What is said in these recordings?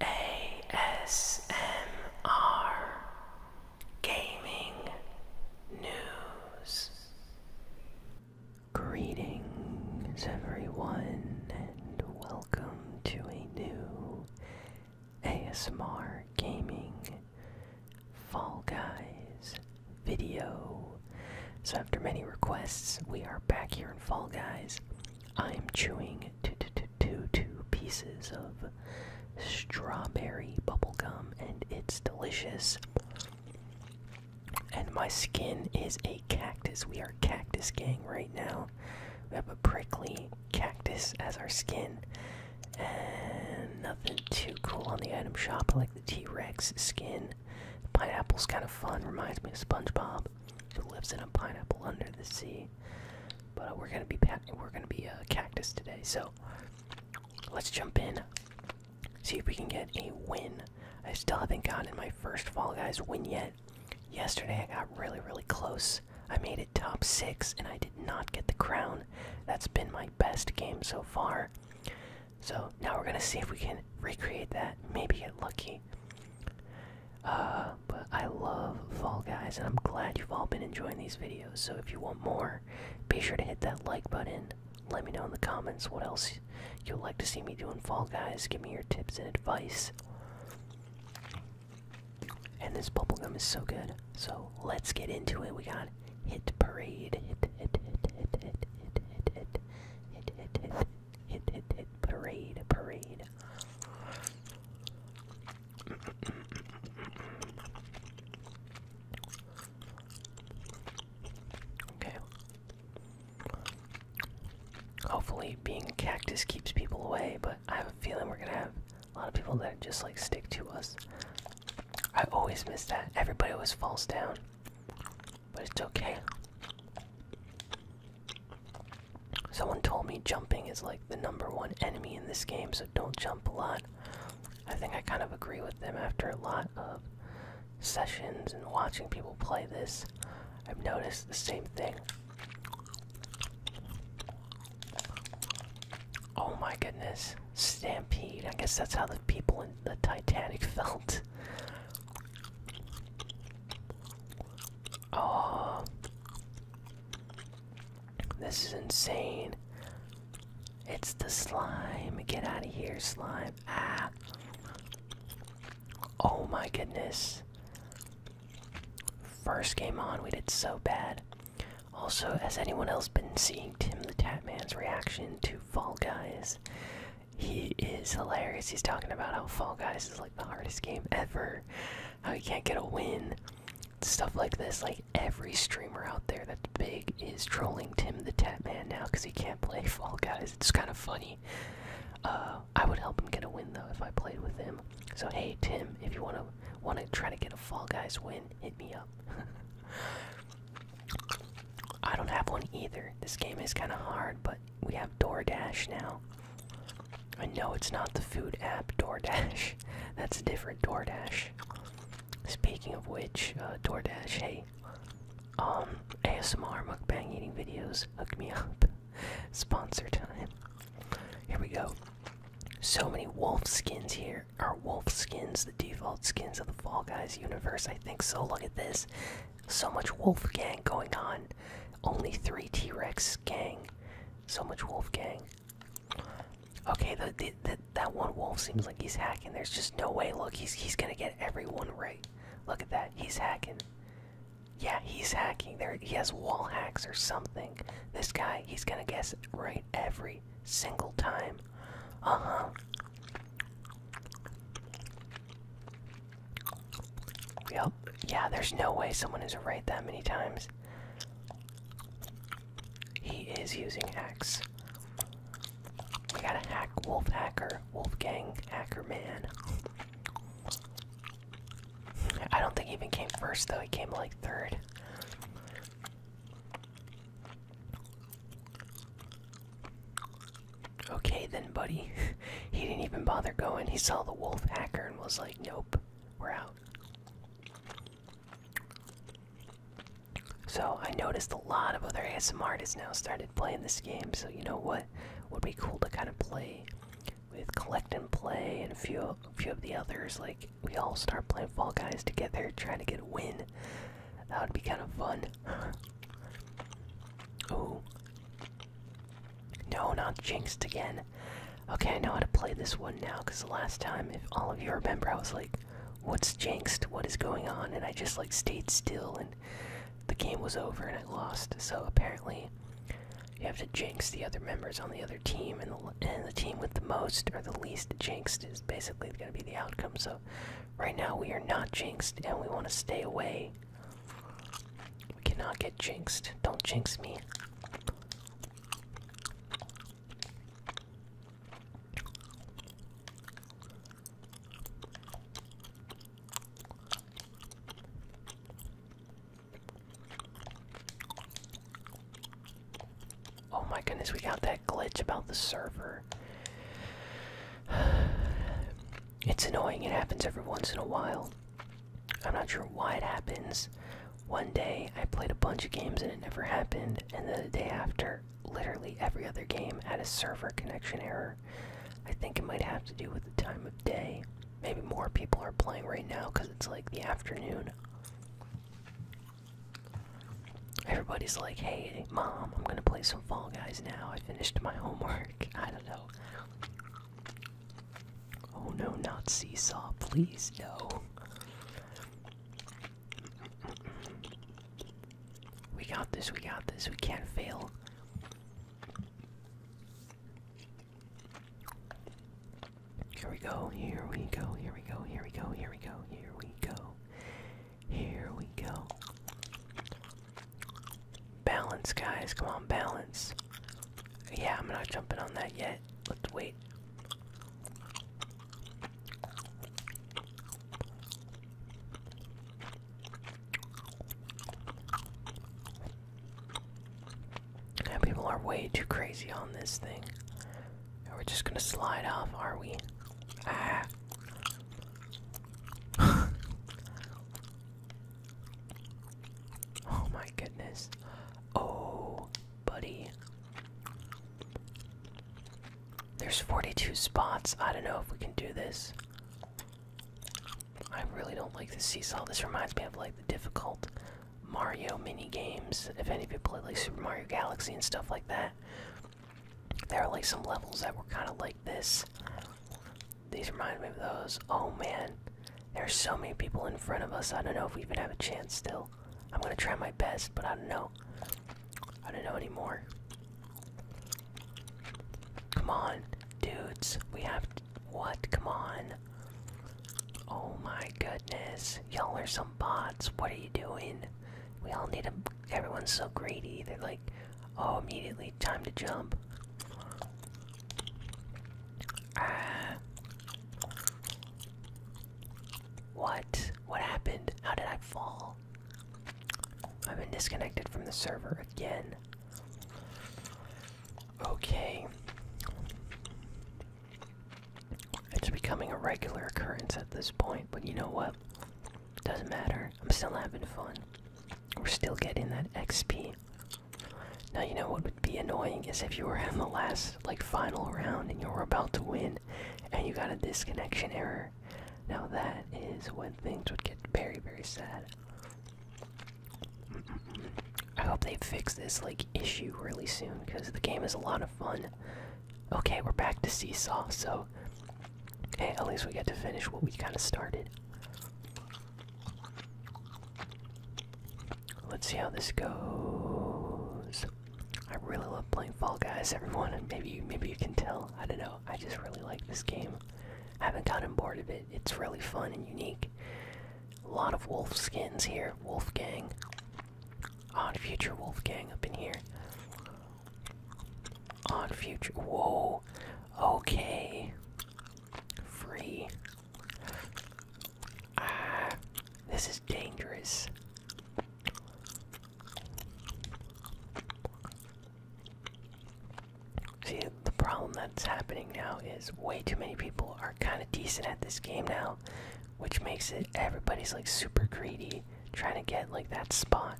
ASMR Gaming News. Greetings, everyone, and welcome to a new ASMR Gaming Fall Guys video. So, after many requests, we are back here in Fall Guys. I am chewing two, two, two, two, two pieces of strawberry bubblegum, and it's delicious. And my skin is a cactus. We are cactus gang right now. We have a prickly cactus as our skin. And nothing too cool on the item shop. like the T Rex skin. pineapple's kind of fun. Reminds me of SpongeBob who lives in a pineapple under the sea. But uh, we're gonna be we're gonna be a uh, cactus today, so let's jump in. See if we can get a win. I still haven't gotten my first Fall Guys win yet. Yesterday I got really really close. I made it top six, and I did not get the crown. That's been my best game so far. So now we're gonna see if we can recreate that. Maybe get lucky but I love Fall Guys, and I'm glad you've all been enjoying these videos. So if you want more, be sure to hit that like button. Let me know in the comments what else you'd like to see me do in Fall Guys. Give me your tips and advice. And this bubblegum is so good. So let's get into it. We got Hit Parade. Hit, hit, hit, hit, hit, hit, hit, hit, hit, hit, hit. Hit, hit, hit. Parade, parade. okay. Hopefully, being cactus keeps people away, but I have a feeling we're gonna have a lot of people that just like stick to us. I always miss that. Everybody always falls down, but it's okay. Someone told me jumping is like the number one enemy in this game, so don't jump a lot. I think I kind of agree with them after a lot of sessions and watching people play this. I've noticed the same thing. Oh my goodness. Stampede. I guess that's how the people in the Titanic felt. Oh, this is insane. It's the slime. Get out of here, slime. Ah. Oh my goodness. First game on, we did so bad. Also, has anyone else been seeing Tim the Tatman's reaction to Fall Guys? He is hilarious. He's talking about how Fall Guys is like the hardest game ever, how you can't get a win, stuff like this. Like every streamer out there that's big is trolling Tim the Tap Man now because he can't play Fall Guys. It's kind of funny. Uh, I would help him get a win though if I played with him. So hey Tim, if you wanna wanna try to get a Fall Guys win, hit me up. I don't have one either. This game is kind of hard, but we have DoorDash now. I know it's not the food app DoorDash. That's a different DoorDash. Speaking of which, uh, DoorDash, hey, um, ASMR mukbang eating videos, hook me up. Sponsor time. Here we go. So many wolf skins here. Are wolf skins the default skins of the Fall Guys universe? I think so. Look at this. So much wolf gang going on. Only three T Rex gang. So much wolf gang. Okay, the, the, the, that one wolf seems like he's hacking. There's just no way. Look, he's, he's gonna get everyone right. Look at that. He's hacking. Yeah, he's hacking. There, he has wall hacks or something. This guy, he's gonna guess right every single time. Uh huh. Yeah, there's no way someone is right that many times. He is using X. We got a hack wolf hacker, Wolfgang hacker man. I don't think he even came first though, he came like third. Okay then, buddy. he didn't even bother going. He saw the wolf hacker and was like, nope, we're out. So I noticed a lot of other ASM artists now started playing this game. So you know what would be cool to kind of play with collect and play and a few a few of the others. Like we all start playing Fall Guys together, trying to get a win. That would be kind of fun. Oh No, not jinxed again. Okay, I know how to play this one now, because the last time, if all of you remember, I was like, what's jinxed? What is going on? And I just, like, stayed still, and the game was over, and I lost. So apparently, you have to jinx the other members on the other team, and the, and the team with the most or the least jinxed is basically going to be the outcome. So right now, we are not jinxed, and we want to stay away we cannot get jinxed. Don't jinx me. Oh my goodness, we got that glitch about the server. It's annoying, it happens every once in a while. I'm not sure why it happens. One day I played a bunch of games and it never happened, and then the day after, literally every other game had a server connection error. I think it might have to do with the time of day. Maybe more people are playing right now because it's like the afternoon. Everybody's like, hey, mom, I'm gonna play some Fall Guys now. I finished my homework. I don't know. Oh no, not Seesaw. Please, no. We got this, we got this. We can't fail. Here we go, here we go, here we go, here we go, here we go, here we go. Here we go. Balance, guys. Come on, balance. Yeah, I'm not jumping on that yet. Let's wait. people are way too crazy on this thing. We're just gonna slide off, are we? Ah. oh my goodness. Oh, buddy. There's 42 spots. I don't know if we can do this. I really don't like the seesaw. This reminds me of like the difficult Mario mini games. If any of you played like Super Mario Galaxy and stuff like that, there are like some levels that were kind of like this. These remind me of those. Oh man, there's so many people in front of us. I don't know if we even have a chance still. I'm gonna try my best, but I don't know. I don't know anymore. Come on, dudes. We have what? Come on. Oh my goodness. Y'all are some bots. What are you doing? We all need them. Everyone's so greedy. They're like, oh, immediately, time to jump. Uh, what? What happened? How did I fall? I've been disconnected from the server again. Okay. It's becoming a regular occurrence at this point, but you know what? Doesn't matter. I'm still having fun. We're still getting that XP. Now you know what would be annoying is if you were in the last like final round and you were about to win and you got a disconnection error. Now that is when things would get very very sad. I hope they fix this like issue really soon because the game is a lot of fun Okay, we're back to Seesaw, so hey, at least we get to finish what we kind of started. Let's see how this goes. I really love playing Fall Guys, everyone. And maybe, maybe you can tell. I don't know. I just really like this game. I haven't gotten bored of it. It's really fun and unique. A lot of wolf skins here. Wolf gang. Odd future wolf gang up in here on future. Whoa. Okay. Free. Ah, this is dangerous. See, the problem that's happening now is way too many people are kind of decent at this game now, which makes it everybody's like super greedy trying to get like that spot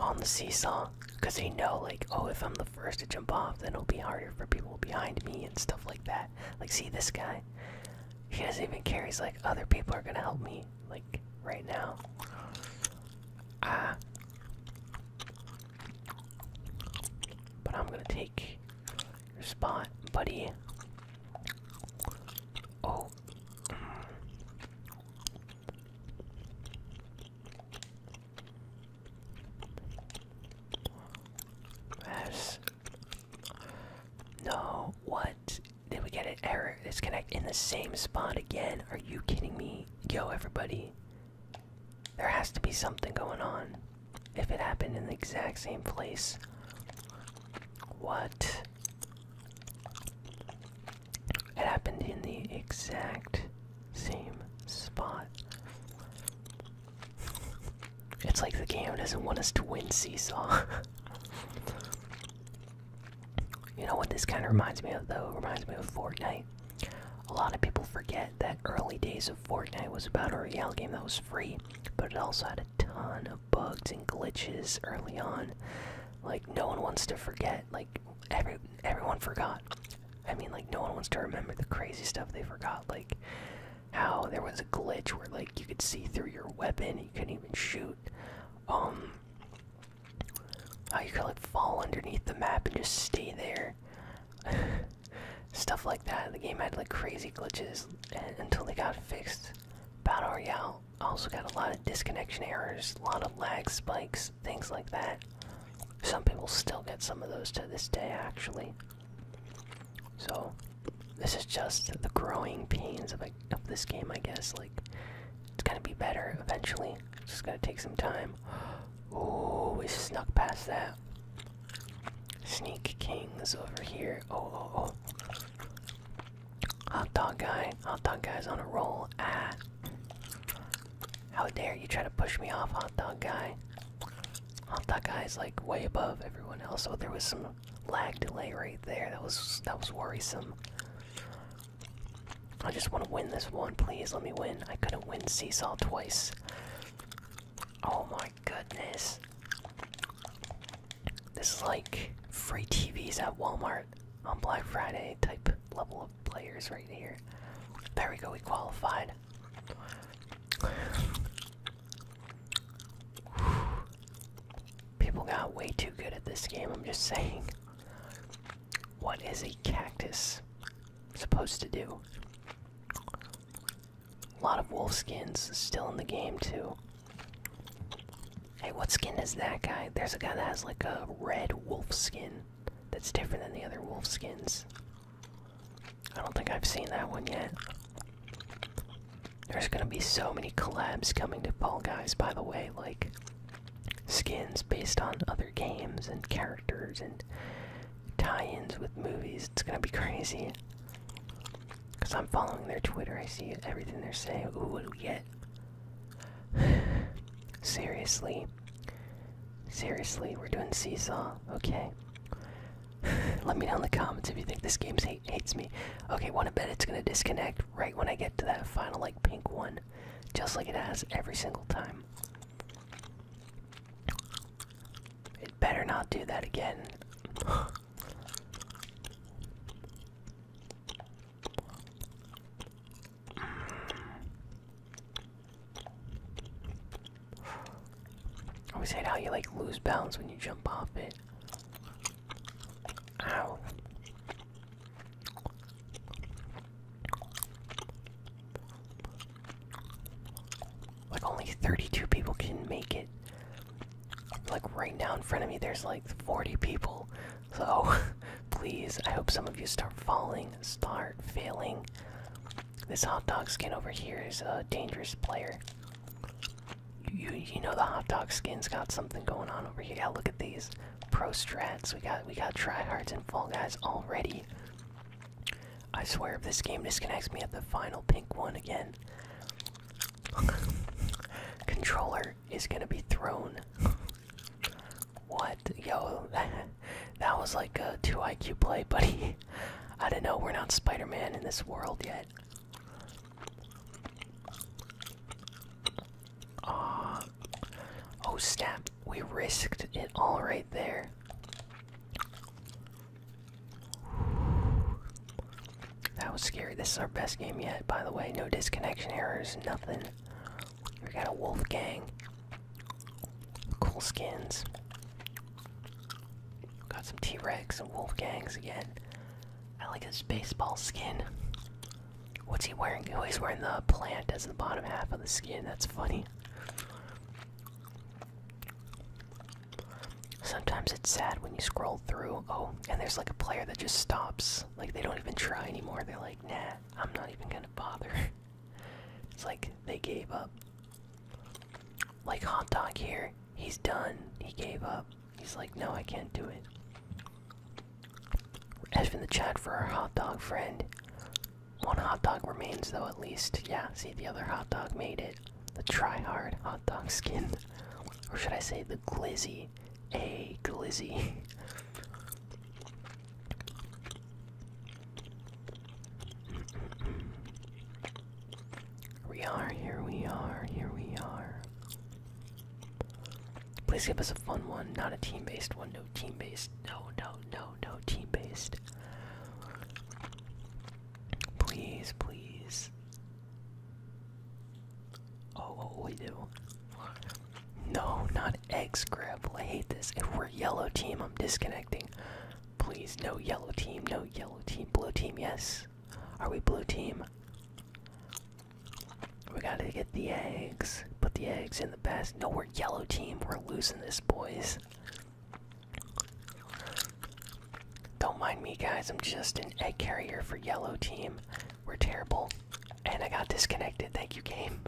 on the seesaw because they know like oh if i'm the first to jump off then it'll be harder for people behind me and stuff like that like see this guy he doesn't even care he's like other people are gonna help me like right now ah but i'm gonna take your spot buddy oh Yes. No, what? Did we get an error? It's Disconnect in the same spot again. Are you kidding me? Yo, everybody. There has to be something going on. If it happened in the exact same place. What? It happened in the exact same spot. It's like the game doesn't want us to win Seesaw. you know what this kind of reminds me of, though? It reminds me of Fortnite. A lot of people forget that early days of Fortnite was about a real game that was free, but it also had a ton of bugs and glitches early on. Like no one wants to forget. Like every everyone forgot. I mean, like no one wants to remember the crazy stuff they forgot. Like how there was a glitch where like you could see through your weapon, you couldn't even shoot. Um, how you could like fall underneath the map and just stay there. Stuff like that. The game had like crazy glitches until they got fixed. Battle Royale also got a lot of disconnection errors, a lot of lag spikes, things like that. Some people still get some of those to this day, actually. So, this is just the growing pains of, of this game, I guess. Like, it's gonna be better eventually. just gonna take some time. Oh, we snuck past that. Sneak Kings over here. Oh, oh, oh. Hot dog guy. Hot dog guy's on a roll. Ah. How dare you try to push me off, hot dog guy? Hot dog guy's like way above everyone else, so there was some lag delay right there. That was that was worrisome. I just want to win this one, please. Let me win. I couldn't win seesaw twice. Oh my goodness. This is like free TVs at Walmart on Black Friday type level of players right here. There we go, we qualified. People got way too good at this game, I'm just saying. What is a cactus supposed to do? A lot of wolf skins still in the game, too. Hey, what skin is that guy? There's a guy that has like a red wolf skin that's different than the other wolf skins. I don't think I've seen that one yet. There's gonna be so many collabs coming to Fall Guys, by the way, like skins based on other games and characters and tie ins with movies. It's gonna be crazy. Because I'm following their Twitter, I see everything they're saying. Ooh, what do we get? Seriously. Seriously, we're doing Seesaw. Okay. Let me know in the comments if you think this game hate hates me. Okay, wanna bet it's gonna disconnect right when I get to that final, like, pink one. Just like it has every single time. It better not do that again. I always how you like lose balance when you jump off it. Ow. Like only 32 people can make it like right now in front of me there's like 40 people so please i hope some of you start falling start failing this hot dog skin over here is a dangerous player you you know the hot dog skin's got something going on over here yeah look at these pro strats we got we got tryhards and fall guys already i swear if this game disconnects me at the final pink one again Controller is gonna be thrown. what? Yo, that, was like a 2 IQ play, buddy. I don't know, we're not Spider Man in this world yet. Uh, oh, snap. We risked it all right there. That was scary. This is our best game yet, by the way. No disconnection errors, nothing. We got a wolf gang. Cool skins. Got some T Rex and wolf gangs again. I like his baseball skin. What's he wearing? Oh, he's wearing the plant as the bottom half of the skin. That's funny. Sometimes it's sad when you scroll through. Oh, and there's like a player that just stops. Like they don't even try anymore. They're like, nah, I'm not even gonna bother. it's like they gave up. Like Hot Dog here, he's done. He gave up. He's like, no, I can't do it. As in the chat for our hot dog friend. One hot dog remains, though, at least. Yeah, see, the other hot dog made it. The try hard hot dog skin. Or should I say the glizzy? A glizzy. we are, here we are, here we are. Please give us a fun one, not a team based one, no team based, no, no, no, no team based. Please, please. Oh, we do? No, not eggs grab. I hate this. If we're yellow team, I'm disconnecting. Please, no yellow team, no yellow team. Blue team, yes. Are we blue team? We gotta get the eggs. Put the eggs in the basket. No, we're yellow team. We're losing this, boys. Don't mind me, guys. I'm just an egg carrier for yellow team. We're terrible. And I got disconnected. Thank you, game.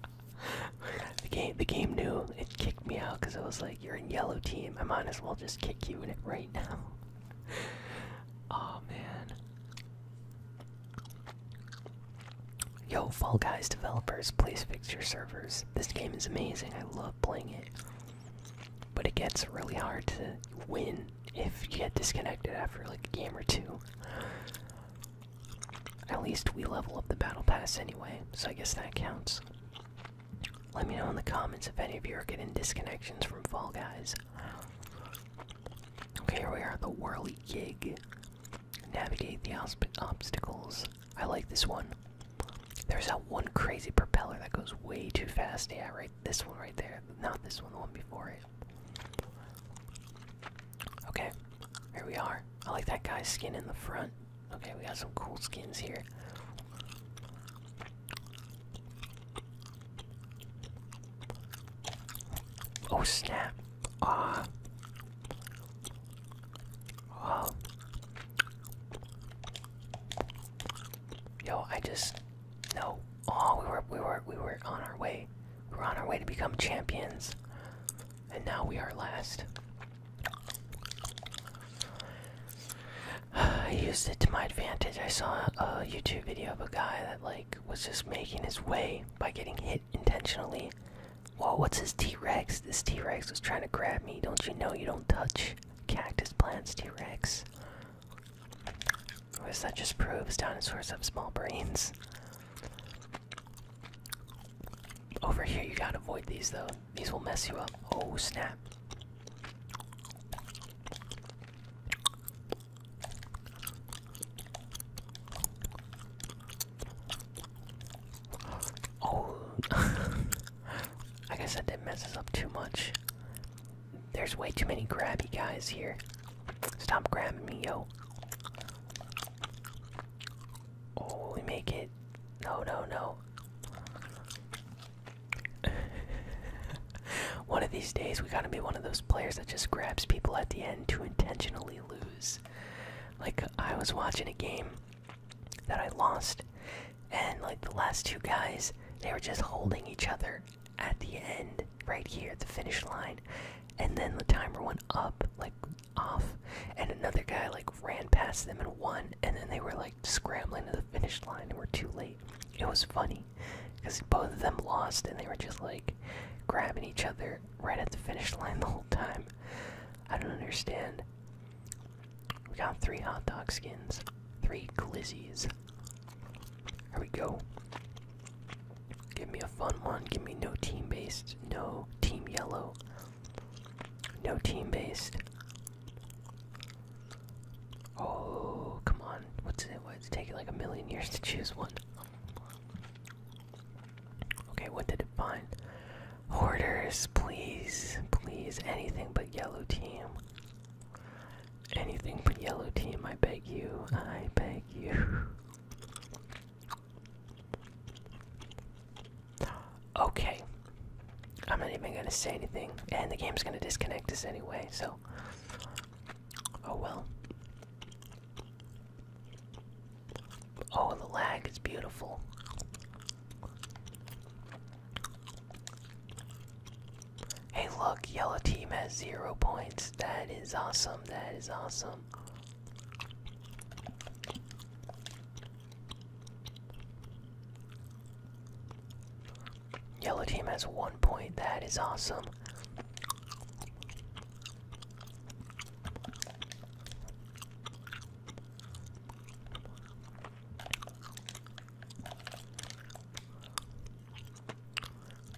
the game the game knew it kicked me out because it was like, you're in yellow team. I might as well just kick you in it right now. oh man. Yo, Fall Guys developers, please fix your servers. This game is amazing. I love playing it. But it gets really hard to win if you get disconnected after like a game or two. At least we level up the battle pass anyway, so I guess that counts. Let me know in the comments if any of you are getting disconnections from Fall Guys. Okay, here we are, at the Whirly Gig. Navigate the obstacles I like this one. There's that one crazy propeller that goes way too fast. Yeah, right. This one right there. Not this one, the one before it. Okay, here we are. I like that guy's skin in the front. Okay, we got some cool skins here. Oh snap! Ah, Yo, I just no. Oh, we were we were we were on our way. We were on our way to become champions. And now we are last. I used it to my advantage. I saw a YouTube video of a guy that like was just making his way by getting hit intentionally. Whoa, what's his T-Rex? This T-Rex was trying to grab me. Don't you know you don't touch? Cactus plants, T Rex. Or is that just proves dinosaurs have small brains? Over here, you gotta avoid these though. These will mess you up. Oh snap. Oh, I guess that did messes up too much. There's way too many grabby guys here. Stop grabbing me, yo. Oh, make it. No, no, no. one of these days, we gotta be one of those players that just grabs people at the end to intentionally lose. Like, I was watching a game that I lost. And like the last two guys, they were just holding each other at the end, right here at the finish line. And then the timer went up, like off, and another guy like ran past them and won. And then they were like scrambling to the finish line and were too late. It was funny because both of them lost and they were just like grabbing each other right at the finish line the whole time. I don't understand. We got three hot dog skins, three glizzies. Here we go. Give me a fun one. Give me no team based, no team yellow, no team based. Oh, come on. What's it? What's taking like a million years to choose one? Okay, what did it find? Hoarders, please, please, anything but yellow team. Anything but yellow team, I beg you, I beg you. Okay. I'm not even gonna say anything, and the game's gonna disconnect us anyway, so. Oh well. Oh, the lag is beautiful. Hey, look, yellow team has zero points. That is awesome. That is awesome. Yellow team has one point. That is awesome.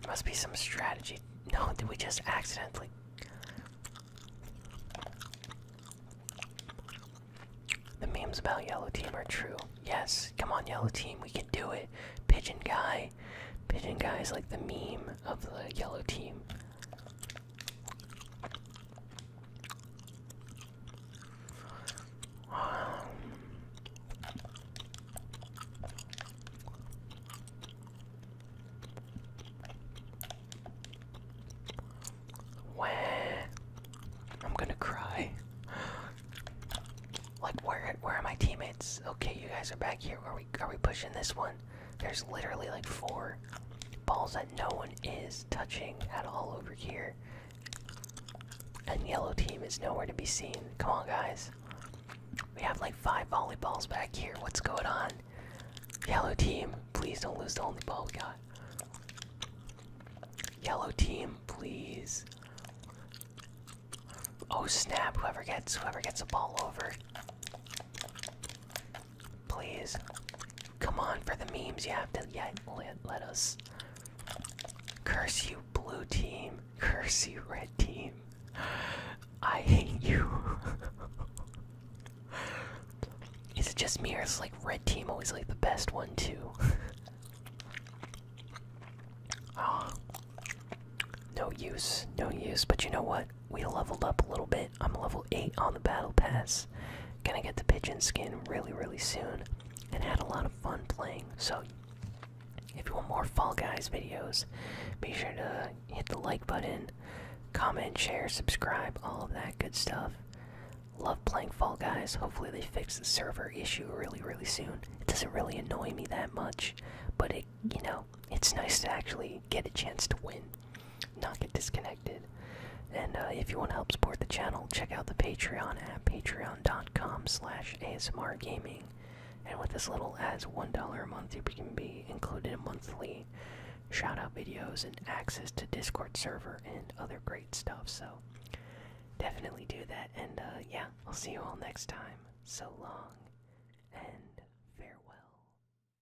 Must be some strategy. No, did we just accidentally? The memes about yellow team are true. Yes, come on, yellow team, we can do it. Pigeon guy. Pigeon guy is like the meme of the yellow team. Where I'm gonna cry. Like where? Where are my teammates? Okay, you guys are back here. Are we? Are we pushing this one? There's literally like four balls that no one is touching at all over here. And yellow team is nowhere to be seen. Come on, guys. We have like five volleyballs back here. What's going on? Yellow team, please don't lose the only ball we got. Yellow team, please. Oh snap, whoever gets whoever gets a ball over. Please. Come on for the memes. You have to yeah, let, let us. Curse you, blue team. Curse you, red team. I hate you. Is it just me or is like red team always like the best one too? oh, no use, no use. But you know what? we leveled up a little bit. I'm level 8 on the battle pass. Gonna get the pigeon skin really, really soon. And had a lot of fun playing. So, if you want more Fall Guys videos, be sure to hit the like button, comment, share, subscribe, all of that good stuff. Love playing Fall Guys. Hopefully, they fix the server issue really, really soon. It doesn't really annoy me that much, but it, you know, it's nice to actually get a chance to win not get disconnected. And uh, if you want to help support the channel, check out the Patreon at patreon.com slash asmrgaming. And with as little as $1 a month, you can be included in monthly shout-out videos and access to Discord server and other great stuff. So definitely do that. And uh, yeah, I'll see you all next time. So long and farewell.